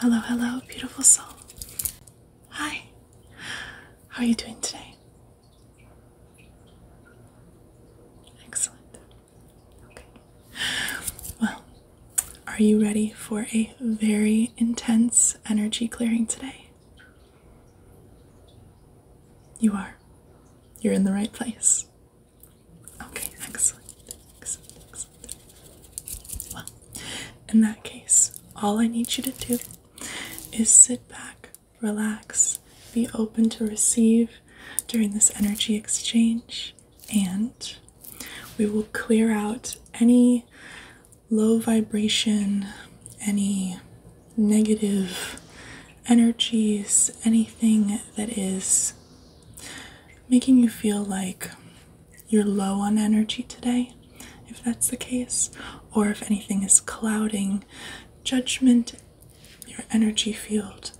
Hello, hello, beautiful soul. Hi, how are you doing today? Excellent. Okay. Well, are you ready for a very intense energy clearing today? You are. You're in the right place. Okay, excellent. Excellent, excellent. Well, in that case, all I need you to do is sit back, relax, be open to receive during this energy exchange, and we will clear out any low vibration, any negative energies, anything that is making you feel like you're low on energy today, if that's the case, or if anything is clouding judgment, your energy field,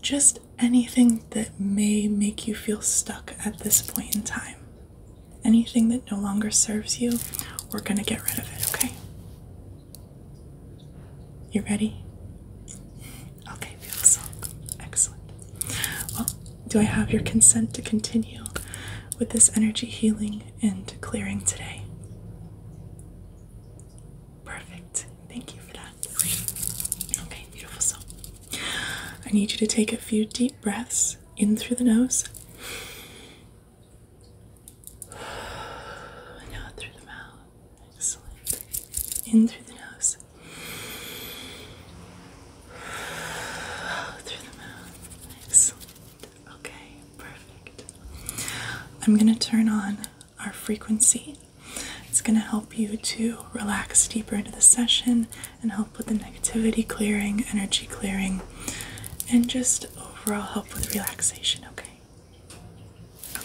just anything that may make you feel stuck at this point in time. Anything that no longer serves you, we're going to get rid of it, okay? You ready? Okay, beautiful. Excellent. Well, do I have your consent to continue with this energy healing and clearing today? Perfect. Thank you for that. Okay, beautiful. So I need you to take a few deep breaths in through the nose out through the mouth. Excellent. In through the nose. Out through the mouth. Excellent. Okay, perfect. I'm going to turn on our frequency. It's going to help you to relax deeper into the session and help with the negativity clearing, energy clearing, and just overall help with relaxation, okay? Okay.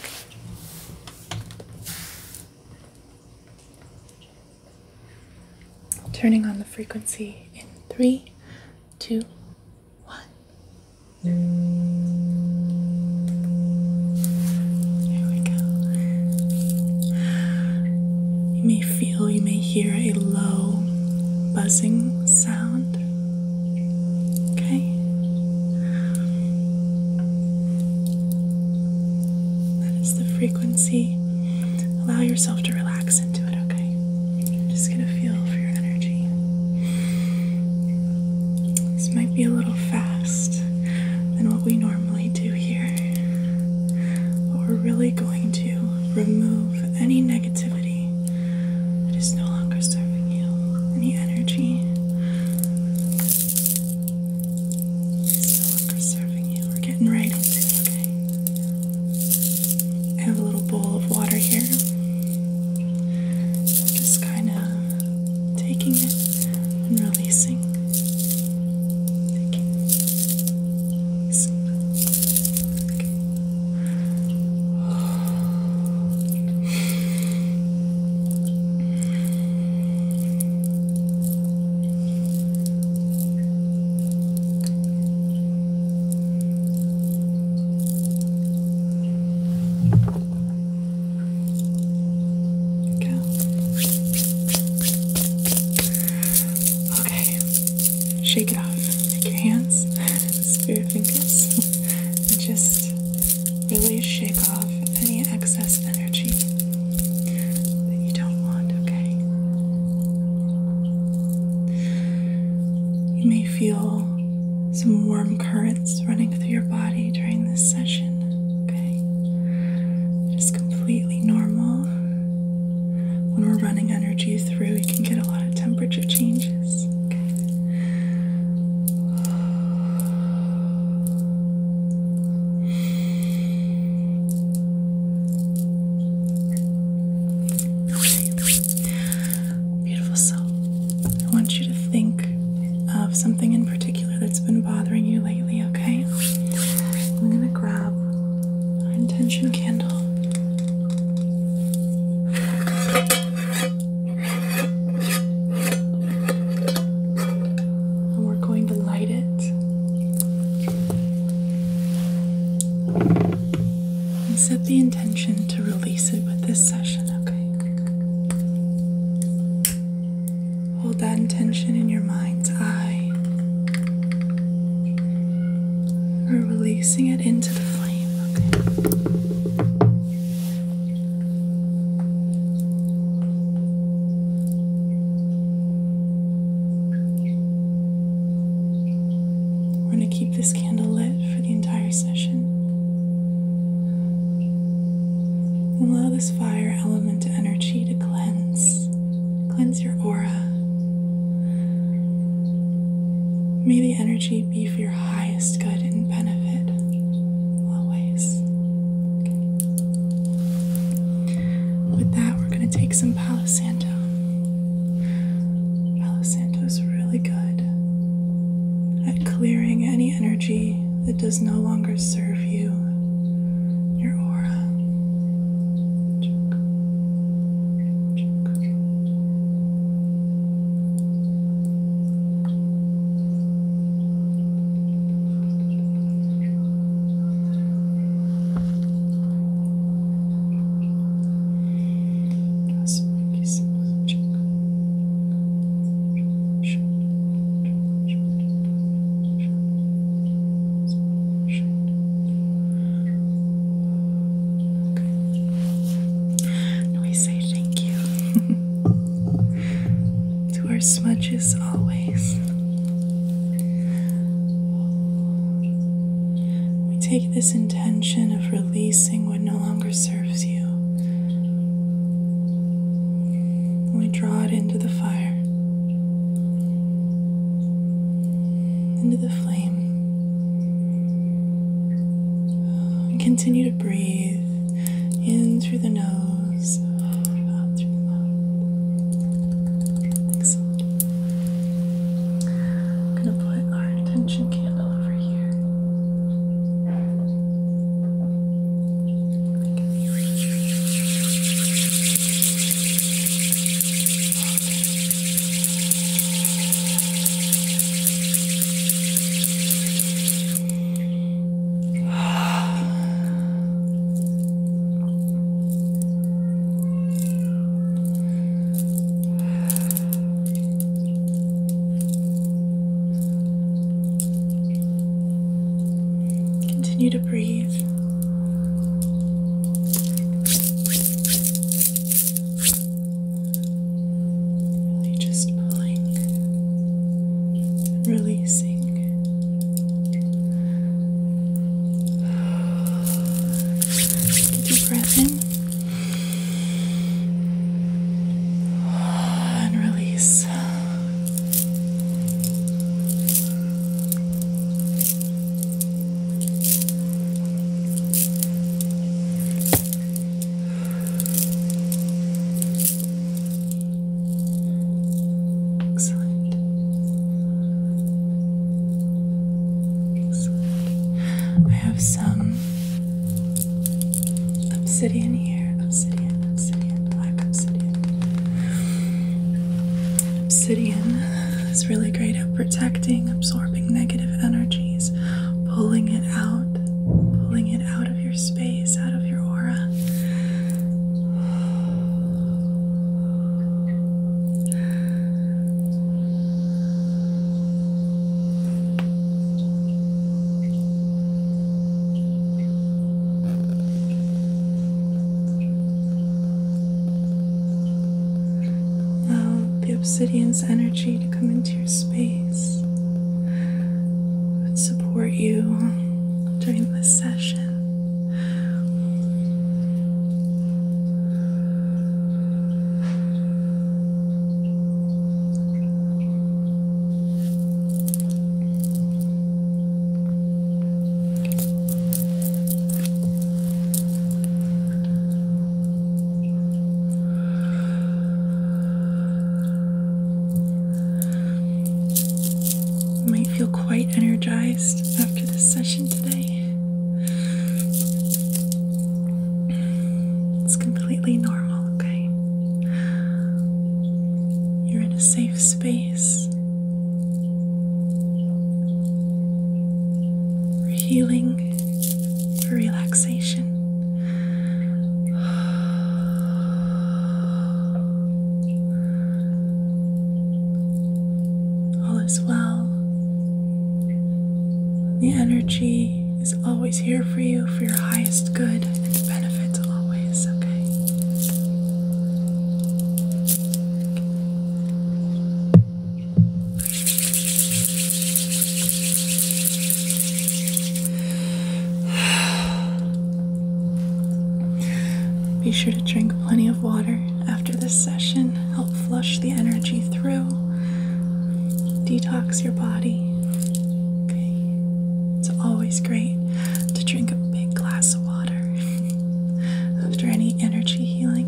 Turning on the frequency in three, two, there we go. You may feel, you may hear a low buzzing sound. Okay. That is the frequency. Allow yourself to relax just gonna feel for your energy. This might be a little fast than what we normally do here, but we're really going to remove any negativity that is no longer serving you, any energy. It's no longer serving you. We're getting right into it, I have a little bowl of water here. just kind of taking it and releasing. Taking, releasing. Go. Okay. Shake it off. Take your hands, your fingers, just really shake off any excess energy that you don't want, okay? You may feel some warm currents running through your body during this session. Okay? It's completely normal. When we're running energy through, You can get a lot of temperature changes. Okay. Beautiful soul. I want you to think of something in particular that's been bothering you lately, okay? I'm going to grab our intention candle. And we're going to light it. And set the intention to release it with this session, okay? Hold that intention in your mind's eye. We're releasing it into the flame, okay? We're going to keep this this candle lit for the entire session. Allow this fire element energy to cleanse, cleanse your aura. May the energy be for your highest good and benefit always. With that, we're going to take some palo Santo. is really good at clearing any energy that does no longer serve you, your aura we say thank you to our smudges always. We take this in intention of releasing what no longer serves you. We draw it into the fire, into the flame. And continue to breathe in through the nose, out through the mouth. I'm going to put our intention candle over here. Continue to breathe. Really just pulling and releasing. Take a breath in and release. Excellent. Excellent. I have some obsidian here. Obsidian, obsidian, black obsidian. Obsidian is really great at protecting, absorbing negative energies, pulling it out, pulling it out of your space, out of your aura. Allow the obsidian's energy to come into your space and support you during this session. You might feel quite energized after this session today. It's completely normal, okay? You're in a safe space. For healing, for relaxation. All is well. The energy is always here for you for your highest good and benefits, always, okay? Be sure to drink plenty of water after this session, help flush the energy through, detox your body. Okay. It's always great to drink a big glass of water after any energy healing.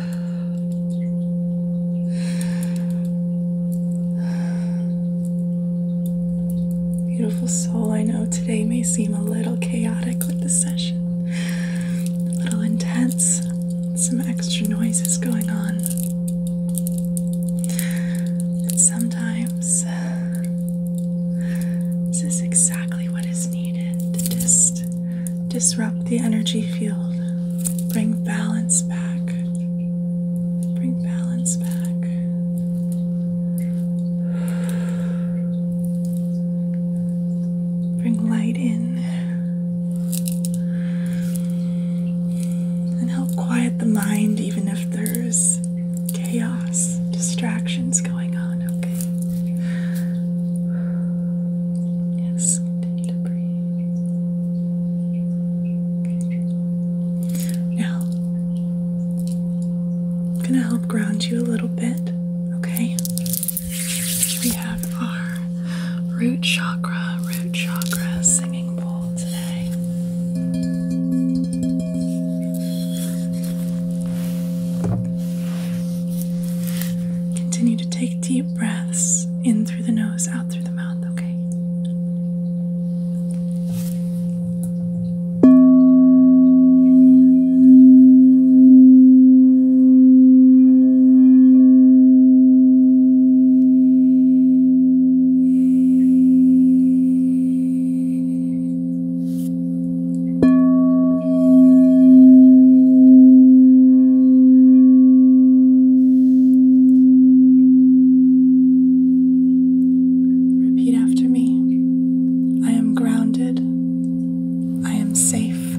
Beautiful soul, I know today may seem a little chaotic with the session, a little intense, some extra noises going on. sometimes this is exactly what is needed to just disrupt the energy field, bring balance back, bring balance back. Bring light in and help quiet the mind, even if there's chaos, distractions going on. Okay. Yes, continue i going to help ground you a little bit, okay? We have our root chakra, root chakra singing bowl today. Continue to take deep breaths in through the nose, out through the mouth, okay? Repeat after me. I am grounded. I am safe.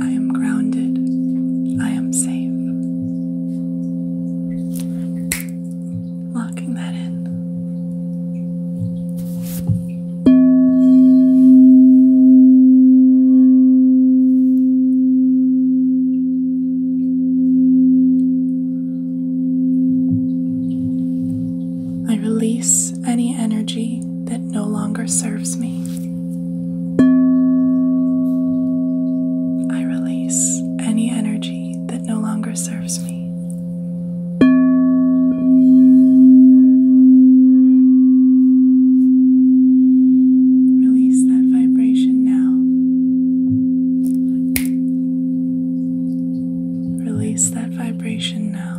I am grounded. I am safe. I release any energy that no longer serves me. I release any energy that no longer serves me. Release that vibration now. Release that vibration now.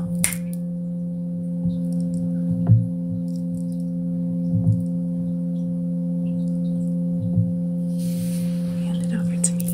Hand it over to me.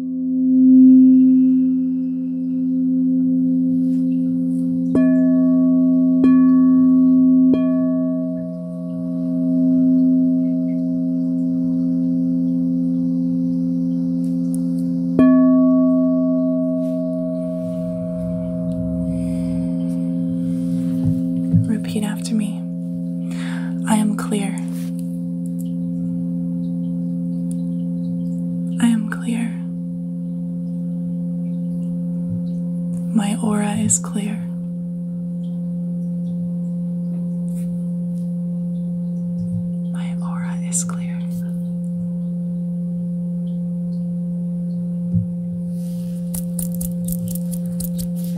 Repeat after me. I am clear. I am clear. My aura is clear. My aura is clear.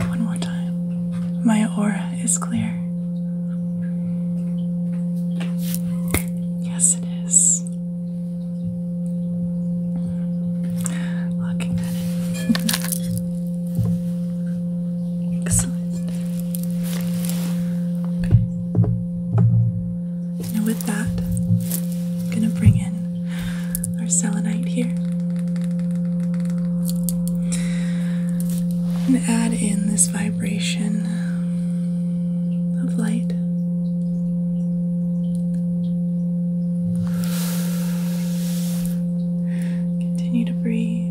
One more time. My aura aura is clear. Yes, it is. Looking at it. Excellent. Okay. And with that, I'm going to bring in our selenite here and add in this vibration of light. Continue to breathe.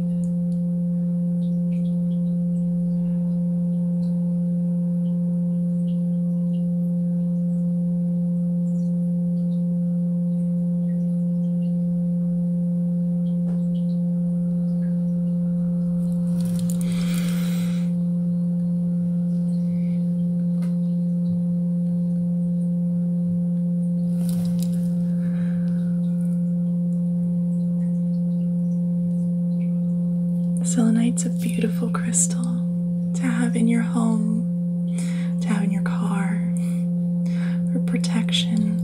Selenite's a beautiful crystal to have in your home, to have in your car, for protection,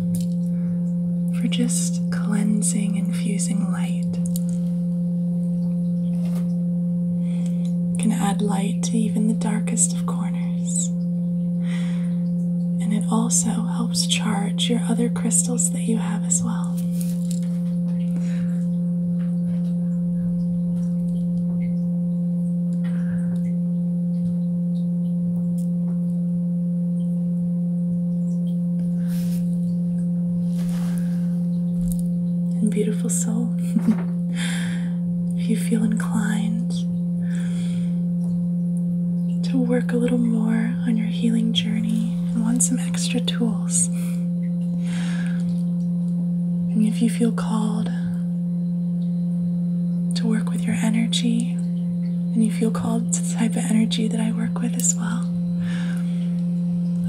for just cleansing and infusing light. can add light to even the darkest of corners. And it also helps charge your other crystals that you have as well. And beautiful soul, if you feel inclined to work a little more on your healing journey and want some extra tools, and if you feel called to work with your energy and you feel called to type of energy that I work with as well,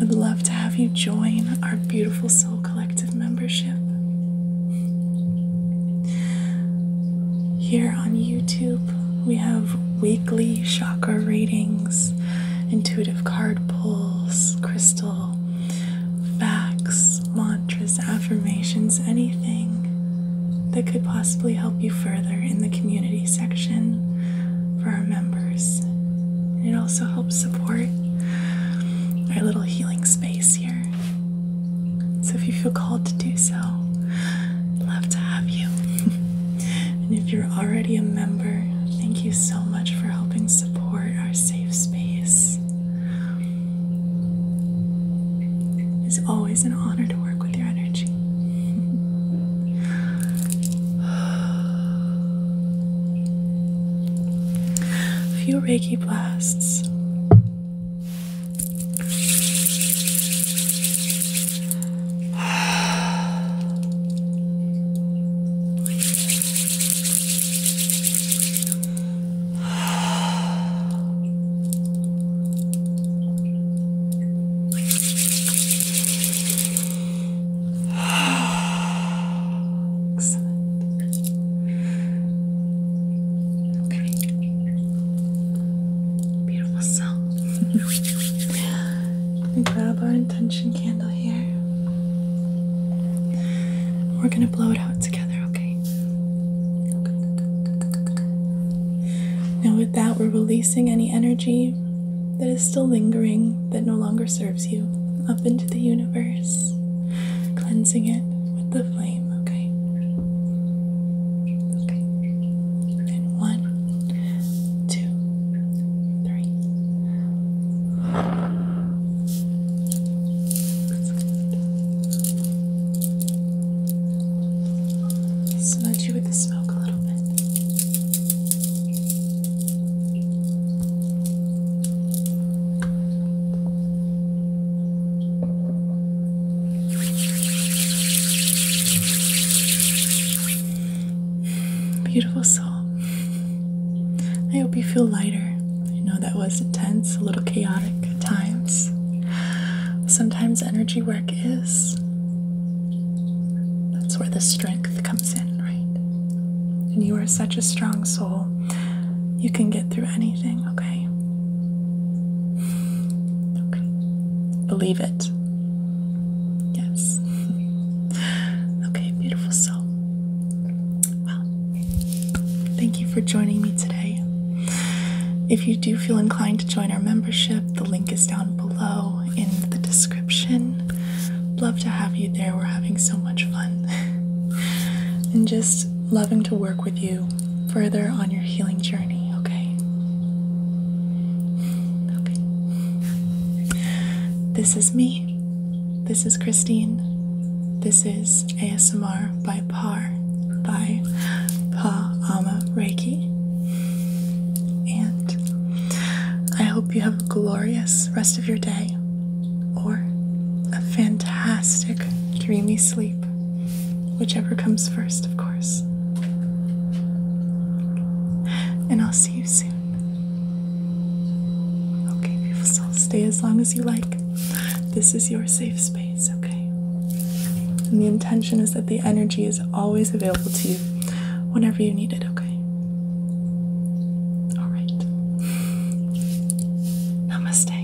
I'd love to have you join our beautiful Soul Collective membership here on YouTube. We have weekly chakra readings, intuitive card pulls, crystal facts, mantras, affirmations, anything that could possibly help you further in the community section for our members. it also helps support our little healing space here. So if you feel called to do so, love to have you. and if you're already a member, thank you so much for helping support our safe space. It's always an honor to work with your energy. A few Reiki blasts. Excellent. Okay. Beautiful sound. we grab our intention candle here. We're gonna blow it out together, okay? Now that, we're releasing any energy that is still lingering, that no longer serves you, up into the universe, cleansing it with the flame, okay? Okay. And one, two, three. So that the smoke a little bit. Beautiful soul. I hope you feel lighter. I know that was intense, a little chaotic at times. Sometimes energy work is. That's where the strength comes in, right? And you are such a strong soul. You can get through anything, okay? Okay. Believe it. Yes. okay, beautiful soul. Well, thank you for joining me today. If you do feel inclined to join our membership, the link is down below in the description. Love to have you there. We're having so much fun. and just loving to work with you further on your healing journey, okay? Okay. This is me. This is Christine. This is ASMR by by Par by Pa Ama Reiki. And I hope you have a glorious rest of your day or a fantastic dreamy sleep, whichever comes first, of course. And I'll see you soon. Okay, people, soul, stay as long as you like. This is your safe space. It's okay? And the intention is that the energy is always available to you whenever you need it, okay? All right. Namaste.